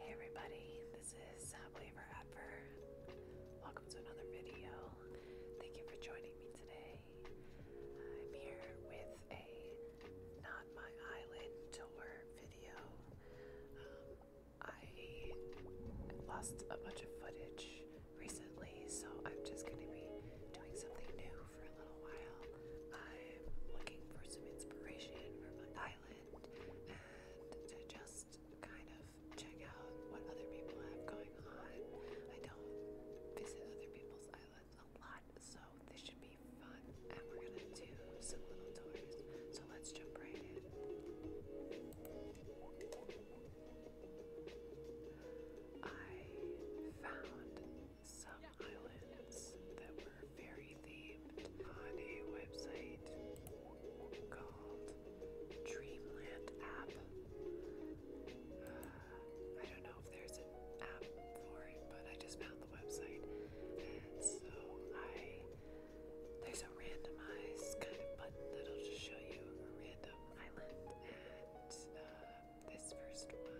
Hey everybody, this is Happily uh, Ever Welcome to another video. Thank you for joining me today. I'm here with a Not My Island tour video. Um, I lost a bunch of footage recently, so I'm just going to be doing something new for a little while. I'm looking for some inspiration from an island and to just kind of check out what other people have going on. I don't visit other people's islands a lot, so this should be fun. And we're gonna do some little tours. So let's jump right in. I found some islands that were very themed on a website called Dreamland App. Uh, I don't know if there's an app for it, but I just found the website, and so I there's a randomized kind of button that'll just show you a random island and. Uh, this first one,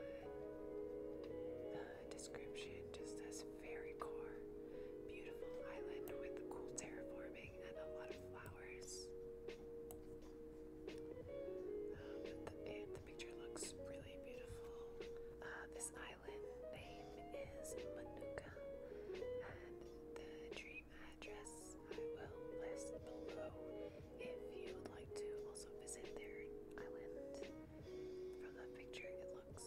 the uh, description just says fairy core, beautiful island with cool terraforming and a lot of flowers. Um, the, picture looks really beautiful. Uh, this island name is Manuka, and the dream address I will list below if you would like to also visit their island it looks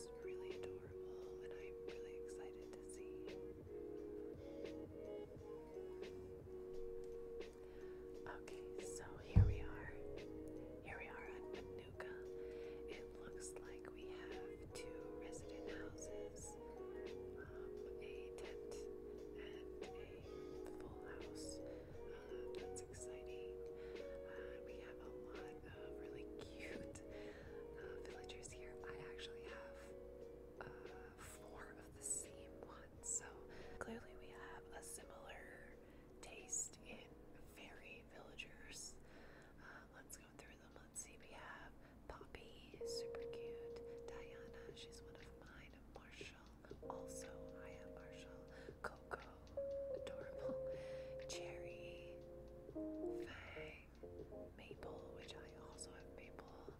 Okay, so here we are. Here we are at Manuka. It looks like we have two resident houses, um, a tent, and a full house that's exciting. Uh, we have a lot of really cute uh, villagers here. I actually have uh, four of the same one, so clearly we have a similar taste in fairy villagers. Uh, let's go through them. Let's see. We have Poppy, super cute. Diana, she's one of mine. Also, I have Marshall, Coco, Adorable, Cherry, Fang, Maple, which I also have Maple,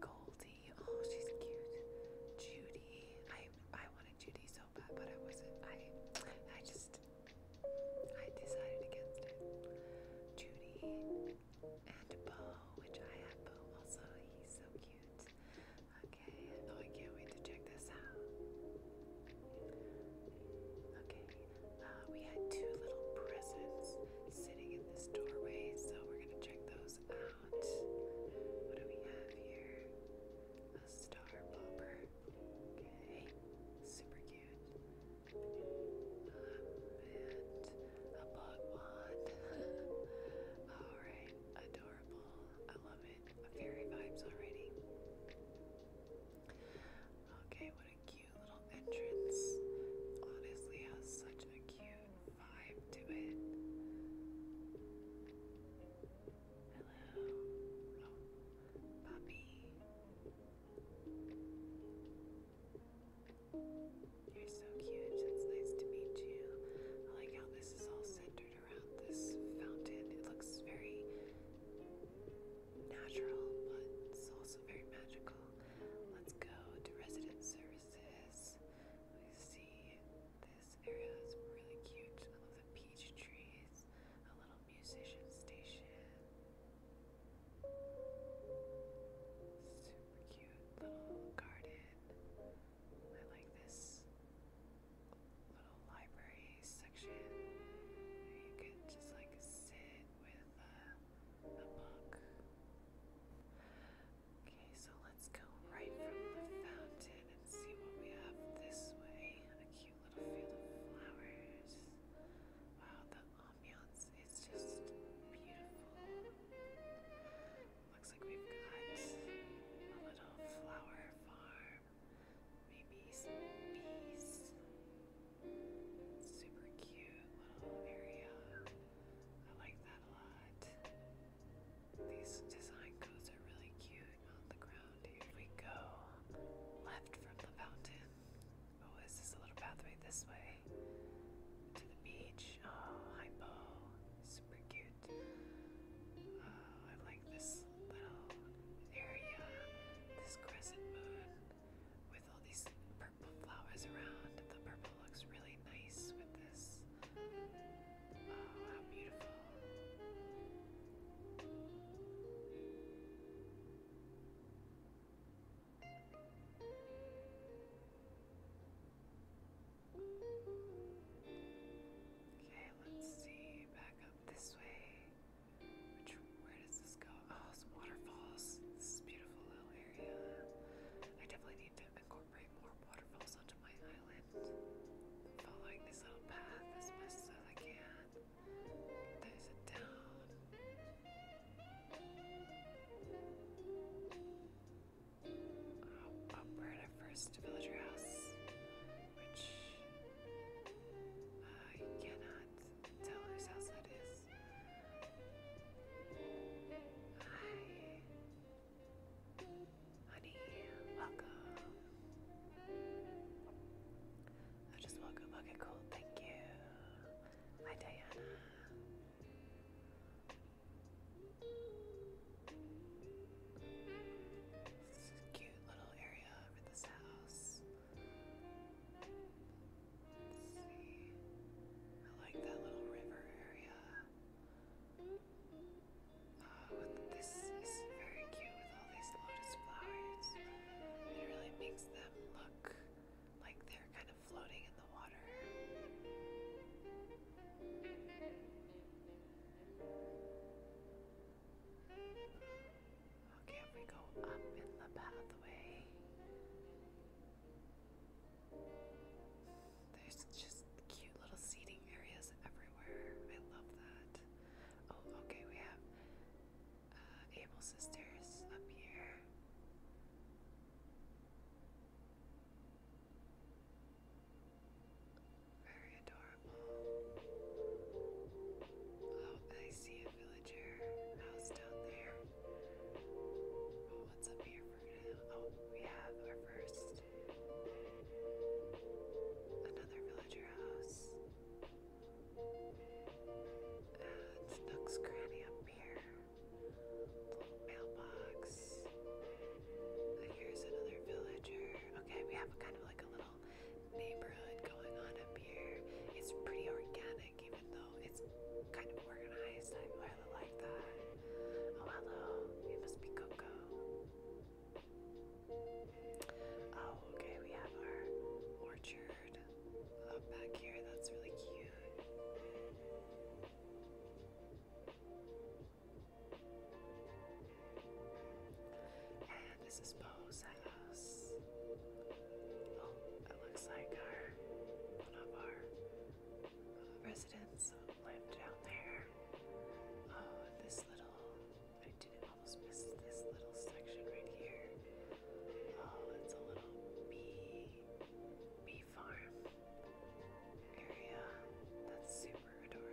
Goldie, oh she's cute, Judy, I I wanted Judy so bad, but I wasn't, I, I just, I decided against it, Judy, and Bo, which I have Bo also, he's so cute, Okay, oh, I can't wait to check this out. Okay, uh, we had two little presents sitting in this doorway, so we're gonna check those out. What do we have here? A star popper. Okay, super cute. and a bug wand. Alright, adorable. I love it. Fairy vibes already. Okay, what a cute little entrance. Honestly, has such a cute vibe to it. Hello. puppy. You're so cute. It's nice to meet you. I like how this is also centered around this fountain. It looks very natural, but it's also very magical. Let's go to resident services. We see this area is really cute. I love the peach trees, a little musician station. Super cute little garden. I like this little library section you can just like sit with a book. Okay, so let's go right from the fountain and see what we have this way. A cute little field of flowers. Wow, the ambiance is just beautiful. Looks like we've got a little flower farm. Maybe some bees. Super cute little area. I like that a lot. These design codes are really cute on the ground here. We go left from the fountain. Oh, is this a little pathway this way? To the beach. Oh, hypo. Super cute. Uh, I like this little area, this crescent moon with all these purple flowers around. The purple looks really nice with this. Oh, how beautiful. Okay, let's see. Back up this way. where does this go? Oh, some waterfalls. This is beautiful little area. I definitely need to incorporate more waterfalls onto my island. Following this little path as best as I can. There's a down uh, upward at first to villager house, which uh, you cannot tell whose house that is. Hi, honey, welcome. I oh, just welcome. Okay, cool. Thank you. Hi, Diana. This is a cute little area over this house. see. I like that little river area. Oh, this is very cute with all these lotus flowers. It really makes them look like they're kind of floating in the water. Okay, if we go up in the pathway, there's just cute little seating areas everywhere. I love that. Oh, okay, we have uh, Sisters up here. Very adorable. Oh, I see a villager house down there. Oh, what's up here Oh, we have our first. Another villager house. And uh, Nook's Cranny up here mailbox. Here's another villager. Okay, we have kind of like a little neighborhood going on up here. It's pretty organic, even though it's kind of organized. I really like that. Oh, hello. It must be Coco. Oh, okay, we have our orchard up back here. That's really cute. And this is Bo's house. Oh, it looks like our one of our residents lived down there. Oh, this little I did almost miss this little section right here. Oh, it's a little bee bee farm area. That's super adorable.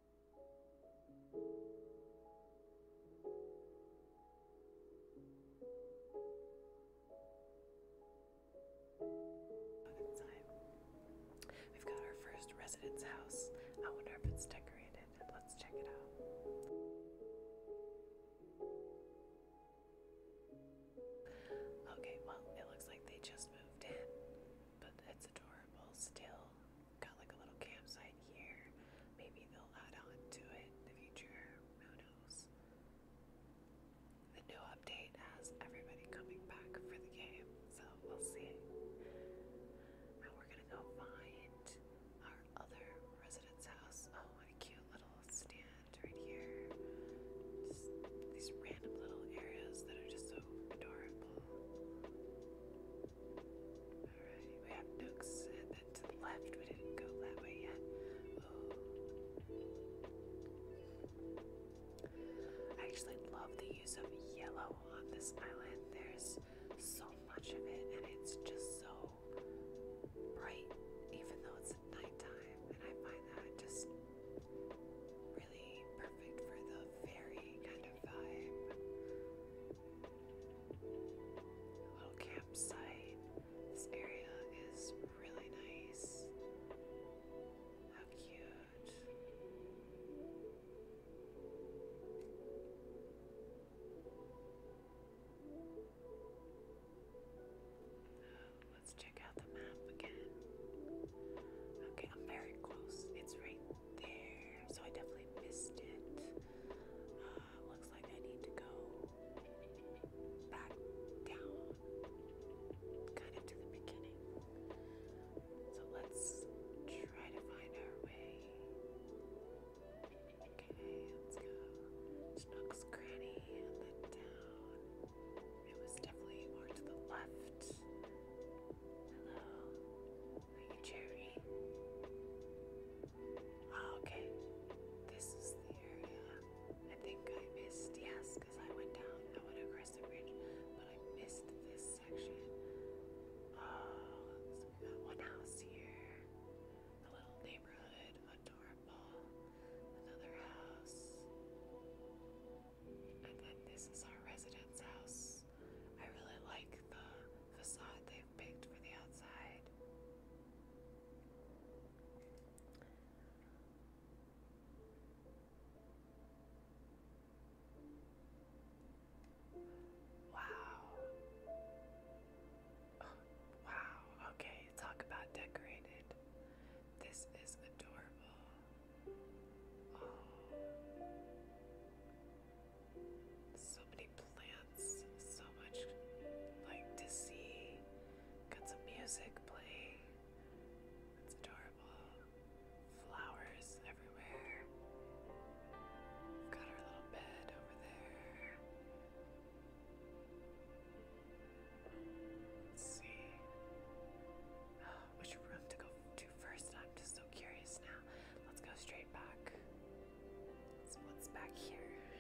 We've got our first residence house. I wonder if it's decorated. Let's check it out. Okay, well, it looks like they just moved in but it's adorable still. Got like a little campsite here. Maybe they'll add on to it in the future. Who knows? The new update has everybody coming back for the game, so we'll see. Now we're gonna go find our other resident's house. Oh, what a cute little stand right here. these random little areas that are just so adorable. Alright, we have nooks and then to the left. We didn't go that way yet. I actually love the use of yellow on this island. There's so much of it, and it's just so bright, even though it's nighttime. And I find that just perfect for the fairy kind of vibe. little campsite. This area is really nice. How cute. Let's check out the map again. Okay, I'm very close. It's right there. So I definitely missed it. Uh, looks like I need to go back down, kind of to the beginning. So let's try to find our way. Okay, let's go. Schnook's Granny and then down. It was definitely more to the left. Hello. Are you Jerry? Oh, okay. This is the area I think I missed. Yes, because I went down. I went across the bridge, but I missed this section. Oh, we got one house here. A little neighborhood. Adorable. Another house. And then this is our residence house. I really like the facade they've picked for the outside. Wow. wow. Okay, talk about decorated. This is adorable. Um, so many plants, so much like to see. Got some music playing. It's adorable. Flowers everywhere. Got our little bed over there. Let's see. which room to go to first? I'm just so curious now. Let's go straight back. what's back here?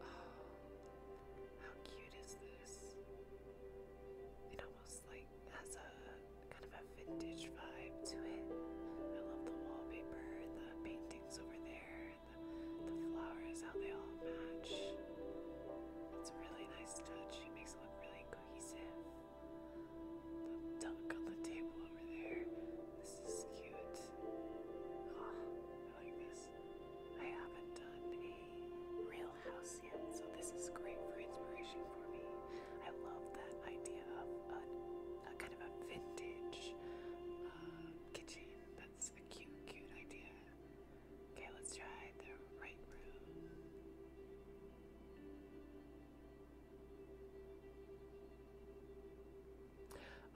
Oh, how cute is this? It almost like has a kind of a vintage vibe to it. I love the wallpaper, the paintings over there the, flowers, how they all match. It's a really nice touch. It makes it look really cohesive. The duck on the table over there. This is cute. Ah, I like this. I haven't done a real house yet, so this is great for inspiration for me. I love that idea of a, kind of a vintage uh, kitchen that's a cute, cute idea. Okay, let's try the right room.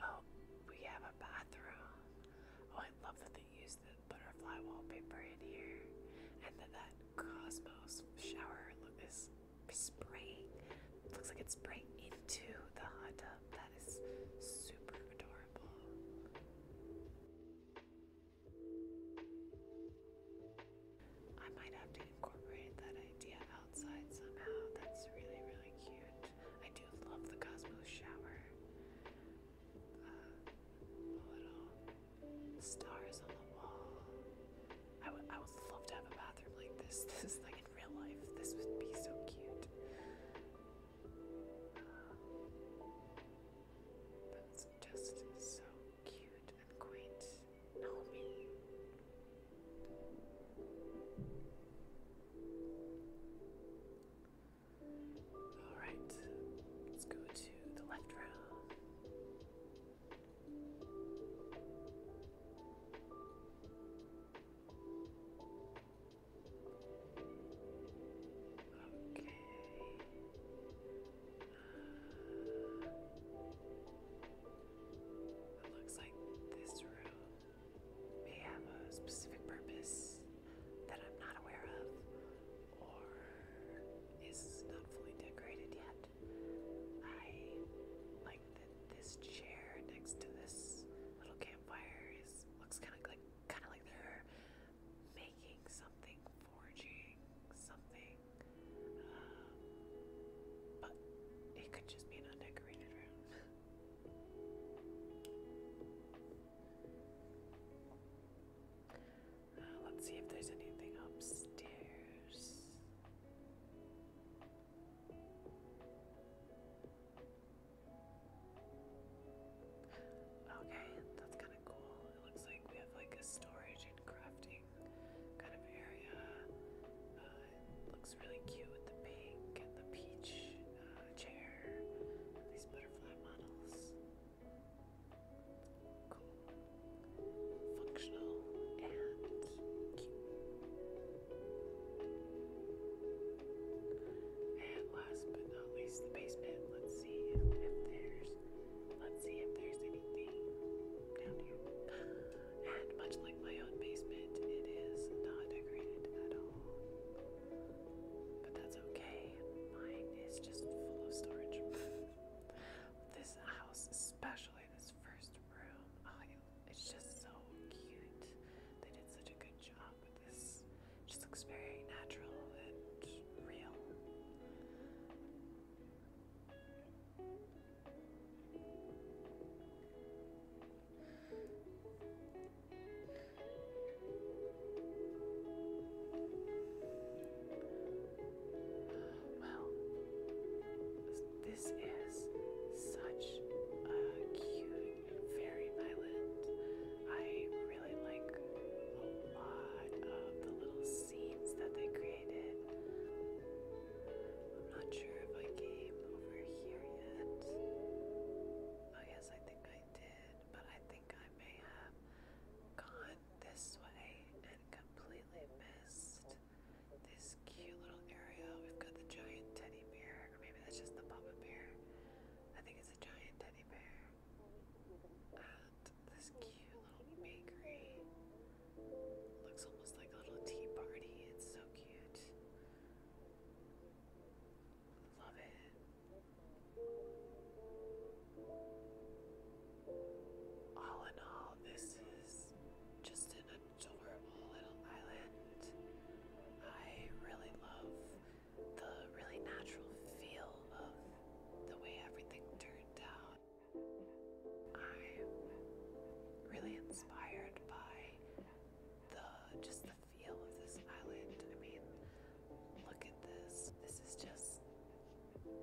Oh, we have a bathroom. Oh, I love that they used the butterfly wallpaper in here, and that that Cosmos shower look is spraying looks like it's right into the hot tub. That is super adorable. I might have to incorporate that idea outside somehow. That's really, really cute. I do love the Cosmos shower. Uh, little stars on the wall. I would, I would love to have a bathroom like this. This is like in real life. This would be so cute. That's just so cute and quaint. Naomi. Alright, let's go to the left row. Uh, it looks like this room may have a specific purpose that I'm not aware of, or is not fully decorated yet. I like this chair next to this little campfire is looks kind of like kind of like they're making something, forging something. Um, but it could just be an undecorated room. Uh, let's see if there's anything upstairs. Okay, that's kind of cool. It looks like we have like a storage and crafting kind of area. Uh, looks really cute with the pink and the peach uh, chair these butterfly models. Cool, functional, and cute. And last but not least, the basement. Let's see if, there's let's see if there's anything down here. And much like my own basement, it is not decorated at all. But that's okay. Mine is just full of storage. this house, especially this first room, it's just so cute. They did such a good job this. just looks very natural and real well, this is such a cute fairy island. I really like a lot of the little scenes that they created. I'm not sure if I came over here yet. Oh, yes, I think I did, but I think I may have gone this way and completely missed this cute little area. We've got the giant teddy bear, or maybe that's just the papa bear. I think it's a giant teddy bear. And this cute little bakery. Looks almost like a little tea party. It's so cute. Love it. All in all, this is just an so little islands. I really love the really natural feel of the way everything turned out. I'm really inspired by the just the feel of this island. I mean, look at this. This is just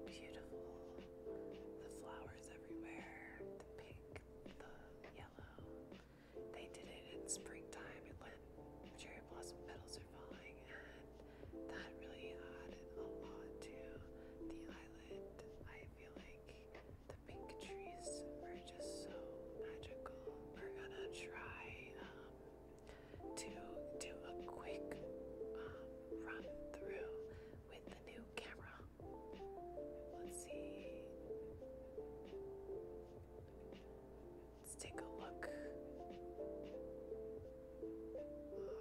beautiful. The flowers everywhere, the pink the yellow. They did it in springtime and when cherry blossom petals are falling, and that really added a lot to the island. I feel like the pink trees are just so magical. We're gonna try um, to do a quick um, run through with the new camera Let's see. Let's take a look. Uh,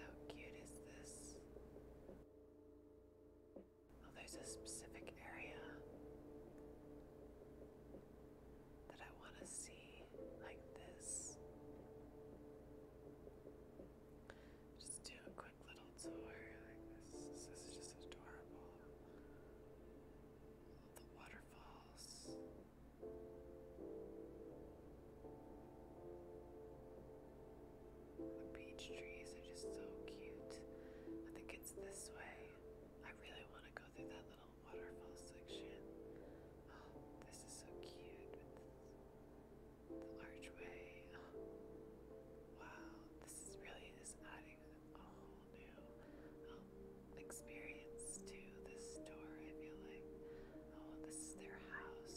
how cute is this? Oh, there's a specific area that I want to see like this. Just do a quick little tour. Like this, is just adorable. the waterfalls. The beech trees are just so cute. I think it's this way. I really want to go through that little waterfall section. Oh, this is so cute archway. wow, this is really is adding a whole new um, experience to this store, I feel like. Oh, this is their house.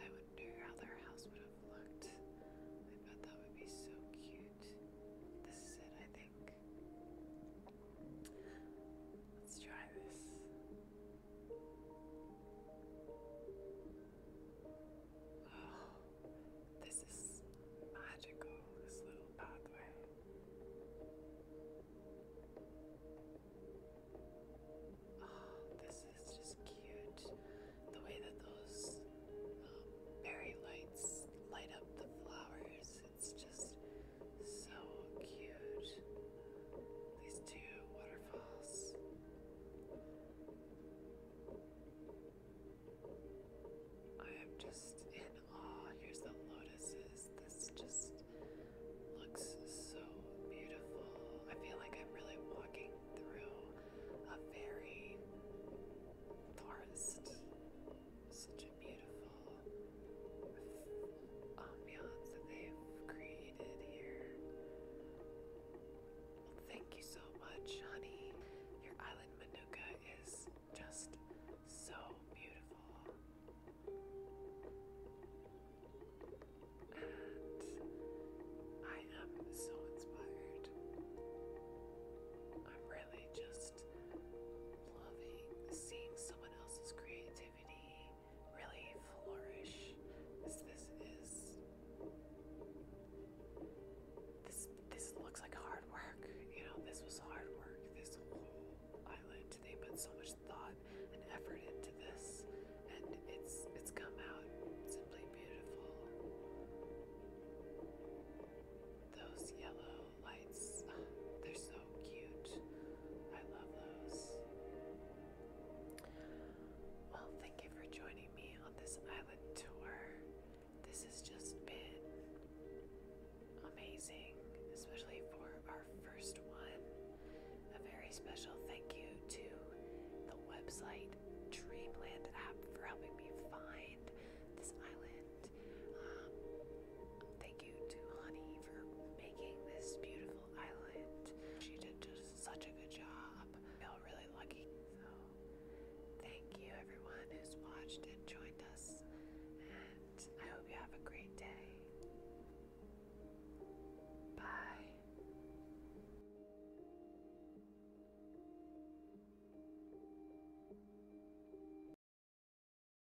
I wonder how their house would have looked. I bet that would be so cute. This is it, I think. Let's try this. Oh, this is magical, this little pathway. Oh, this is just cute. The way that those um, lights light up the flowers it's just so cute. These two waterfalls. I am just in awe. Here's the lotuses. This just looks so beautiful. I feel like I'm really walking through a very forest beautiful ambiance that they've created here. thank you so much, honey. Your island manuka is just so beautiful. And I am so inspired. I'm really just loving seeing someone else's creativity really flourish is this is this this looks like hard work. You know, this was hard work. This whole island. They put so much thought and effort into this and it's it's come out simply beautiful. Those yellow lights. they're so cute. I love those. Well, thank you for joining me on this island tour. This has just been amazing, especially for our first one. A very special thank you to the website Dreamland app for helping me find this island. Um, thank you to Honey for making this beautiful island. She did just such a good job. I feel really lucky. So, thank you everyone who's watched and joined us, and I hope you have a great day. Bye.